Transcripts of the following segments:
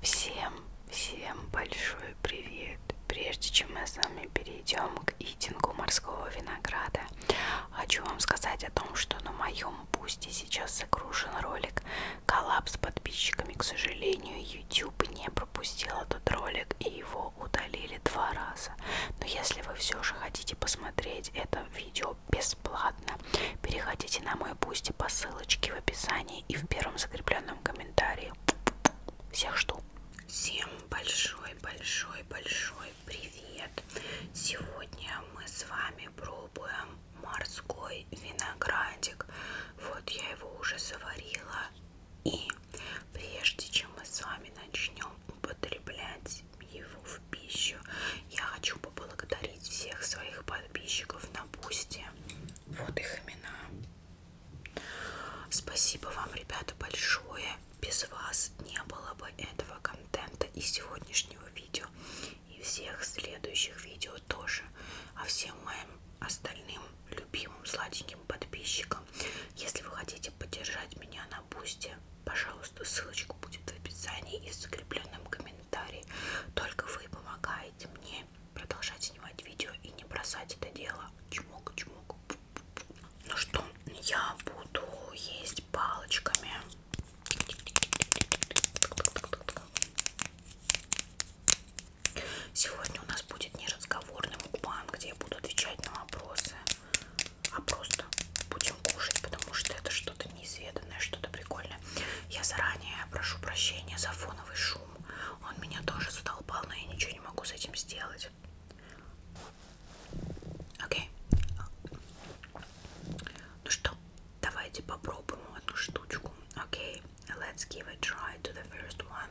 Всем, всем большой привет! Прежде чем мы с вами перейдем к итингу морского винограда, хочу вам сказать о том, что на моем пусте сейчас загружен ролик коллапс с подписчиками. К сожалению, YouTube не пропустил этот ролик и его удалили два раза. Но если вы все же хотите посмотреть это видео бесплатно, переходите на мой пусть по ссылочке в описании описании и в первом закрепленном комментарии. Всех жду. Всем большой-большой-большой привет! Сегодня мы с вами пробуем морской виноградик. Вот я его уже заварила. И прежде чем мы с вами начнем употреблять его в пищу, я хочу поблагодарить всех своих подписчиков на Бусти. Вот их имена. Спасибо вам, ребята, большое. Без вас не было бы этого контента и сегодняшнего видео, и всех следующих видео тоже. А всем моим остальным любимым сладеньким подписчикам, если вы хотите поддержать меня на бусте, пожалуйста, ссылочку будет в описании и в закрепленном комментарии. Только вы помогаете мне продолжать снимать видео и не бросать это дело. Чмок, чмок. Ну что, я буду есть палочками. Сегодня у нас будет не разговорный мукбан, где я буду отвечать на вопросы, а просто будем кушать, потому что это что-то неизведанное, что-то прикольное. Я заранее прошу прощения за фоновый шум шум. Он меня тоже задолбал, но я ничего не могу с этим сделать. Окей. Ну что, давайте попробуем одну штучку. Окей. Let's give a try to the first one.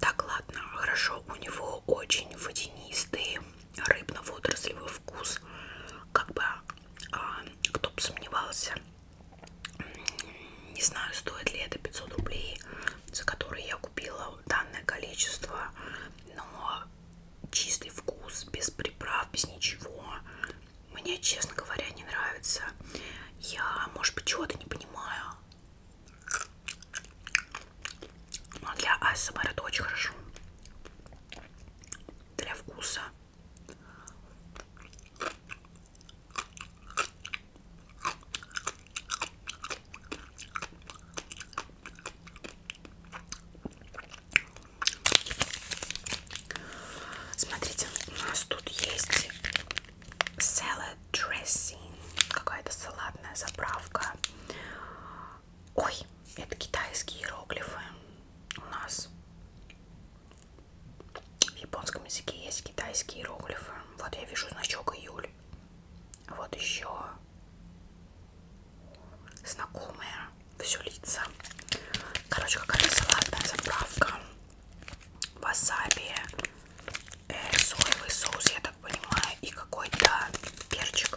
Так, ладно, хорошо. У него очень водянистый рыбно-водорослевый вкус. Как бы, а, кто бы сомневался, не знаю, стоит ли это 500 рублей, за которые я купила данное количество, но чистый вкус, без приправ, без ничего. Мне, честно говоря, не нравится. Я, может быть, чего-то не понимаю. Но для АСМР это очень хорошо. Для вкуса. Смотрите, у нас тут есть salad dressing, какая-то салатная заправка. Ой, это китайские иероглифы. У нас в японском языке есть китайские иероглифы. Вот я вижу значок июль. Вот еще знакомые все лица. Короче, какая-то салатная заправка. Васаби, э, соевый соус, я так понимаю, и какой-то перчик.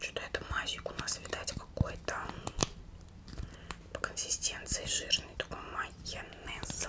Что-то это мазик у нас, видать, какой-то по консистенции жирный, такой майонез.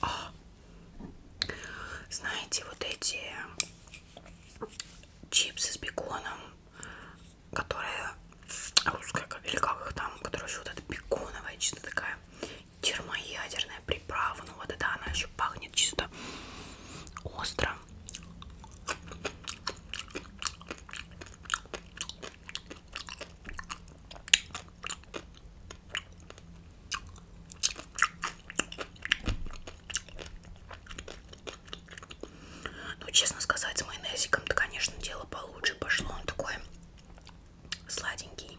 А, знаете, вот эти чипсы с беконом которая русская, или как их там, которая еще вот эта беконовая, чисто такая термоядерная приправа, ну вот это она еще пахнет чисто остро. Ну, честно сказать, с майонезиком-то, конечно, дело получше пошло. Он такой сладенький.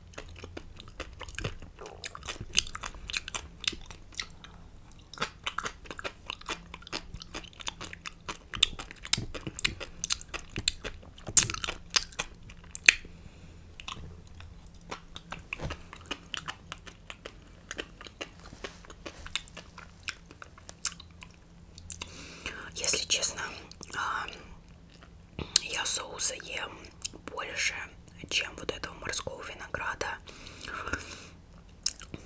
Если честно, а, я соуса ем больше, чем вот этого морского винограда.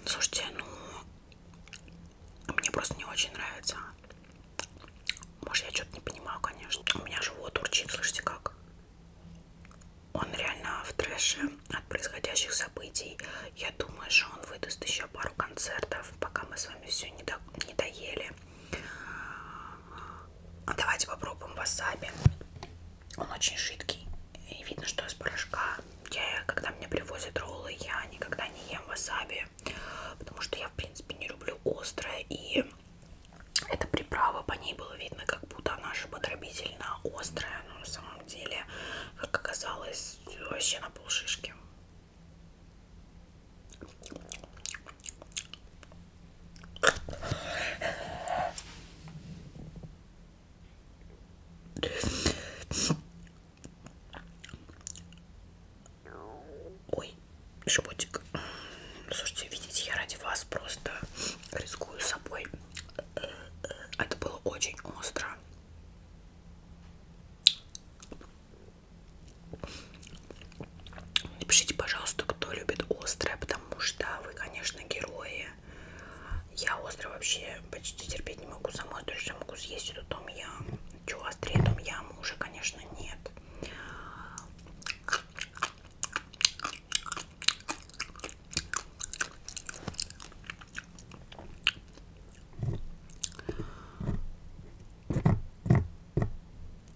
Слушайте, ну, мне просто не очень нравится. Может, я что-то не понимаю, конечно. У меня живот урчит, слышите, как? Он реально в трэше от происходящих событий. Я думаю, что он выдаст еще пару концертов, пока мы с вами все не, до... не доели. А давайте попробуем васаби. Он очень жидкий. И видно, что из порошка. Я, когда мне привозят роллы, я никогда не ем васаби. Потому что я, в принципе, не люблю острое. И эта приправа, по ней было видно, как будто она же подробительно острая. Но на самом деле, как оказалось, вообще на полшишки. Ой, животик. Слушайте, видите, я ради вас просто рискую собой. Это было очень остро. Напишите, пожалуйста, кто любит острое, потому что вы, конечно, герои. Я остро вообще почти терпеть не могу. Сама тоже могу съесть эту том ям. Чего острее том яму уже, конечно, нет.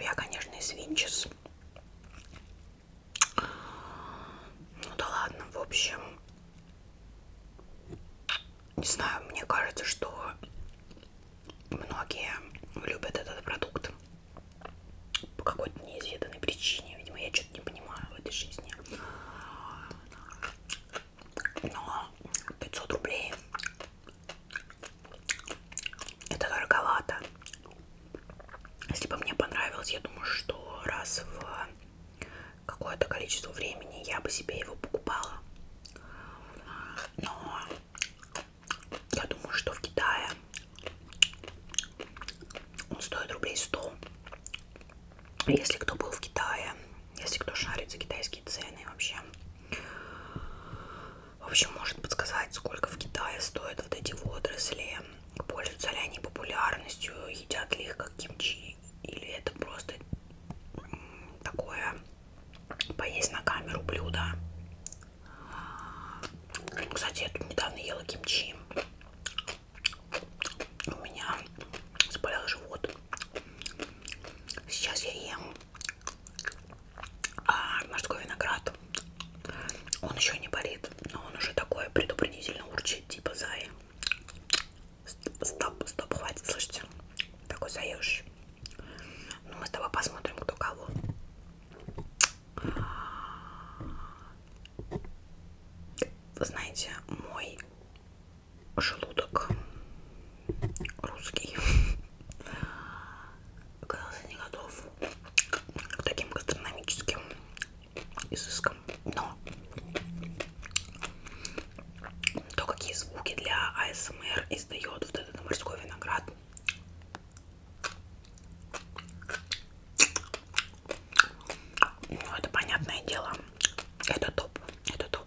Я, конечно, из Винчес. Ну да ладно, в общем. Не знаю, мне кажется, что многие любят этот продукт по какой-то неизведанной причине. Видимо, я что-то не понимаю в этой жизни. Но 500 рублей это дороговато. Если бы мне понравилось, я думаю, что раз в какое-то количество времени я бы себе его покупала. Но я думаю, что в Китае он стоит рублей 100. Если кто был в Китае, если кто шарит за китайские цены вообще. В общем, может подсказать, сколько в Китае стоят вот эти водоросли, пользуются ли они популярностью, едят ли их как кимчи, или это просто такое поесть на камеру блюдо. Кстати, я тут недавно ела кимчи у меня заболел живот. Сейчас я ем а, морской виноград. Он еще не болит, но он уже такой предупредительно урчит, типа зая. Стоп, стоп, хватит, слышите? Такой заешь. Ну, мы с тобой посмотрим, кто кого. Вы знаете, мой желудок русский оказался не готов к таким гастрономическим изыскам. Но то, какие звуки для АСМР издает вот этот морской виноград, ну, это понятное дело. Это топ. Это топ.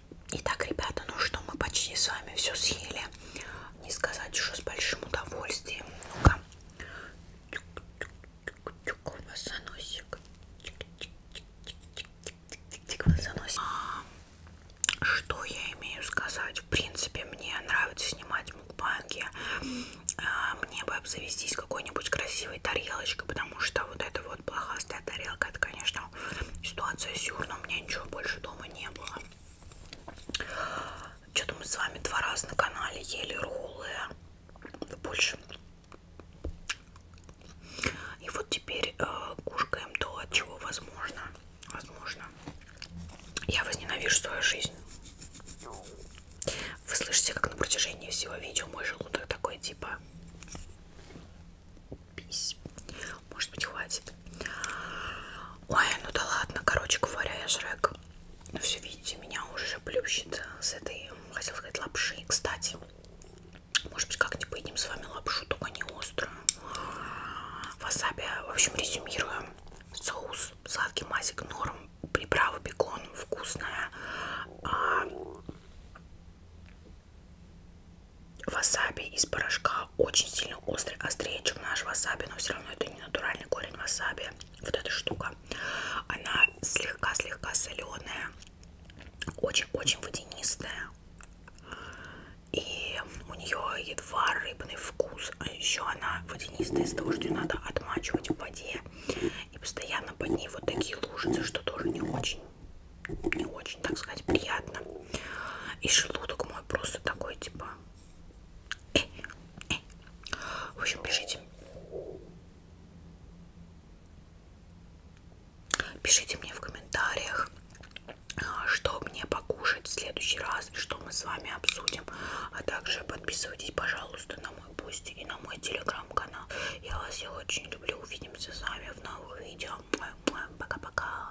Итак, ребята, ну что, мы почти с вами все съели. Не сказать, что с большим удовольствием. Ну-ка. Тюк-тюк-тюк-тюк. Носик. Тик-тик-тик-тик-тик. Что я имею сказать? В принципе, мне нравится снимать мукбанги. Мне бы обзавестись какой-нибудь красивой тарелочкой, потому что вот эта вот плохастая тарелка, это, конечно, ситуация сюр, но у меня ничего больше дома не было. Что-то мы с вами два раза на канале ели роллы. Больше. И вот теперь э, кушаем то, от чего возможно. Возможно. Я возненавижу свою жизнь. Вы слышите, как на протяжении всего видео мой желудок такой, типа пись. Может быть, хватит. Ой, ну да ладно. Короче говоря, я Шрек. Ну все, видите, меня уже плющит с этой, хотел сказать, лапши. Кстати, может быть, как-нибудь поедим с вами лапшу, только не острую. Васаби, в общем, резюмируем. Соус, сладкий масик, норм, приправа, бекон, вкусная. А васаби из порошка очень сильно острый, острее, чем наш васаби, но все равно это не натуральный корень васаби. Вот эта штука, она слегка-слегка соленая, очень-очень водянистая. И у нее едва рыбный вкус, а еще она водянистая из-за того, что ее надо отмачивать в воде. И постоянно под ней вот такие лужицы, что тоже не очень, не очень, так сказать, приятно. И желудок мой просто такой, типа... Э, э. В общем, пишите. Пишите мне в комментариях, а, что мне покушать в следующий раз, и что мы с вами обсудим. А также подписывайтесь, пожалуйста, на мой пост и на мой телеграм-канал. Я вас всех очень люблю. Увидимся с вами в новых видео. Пока-пока.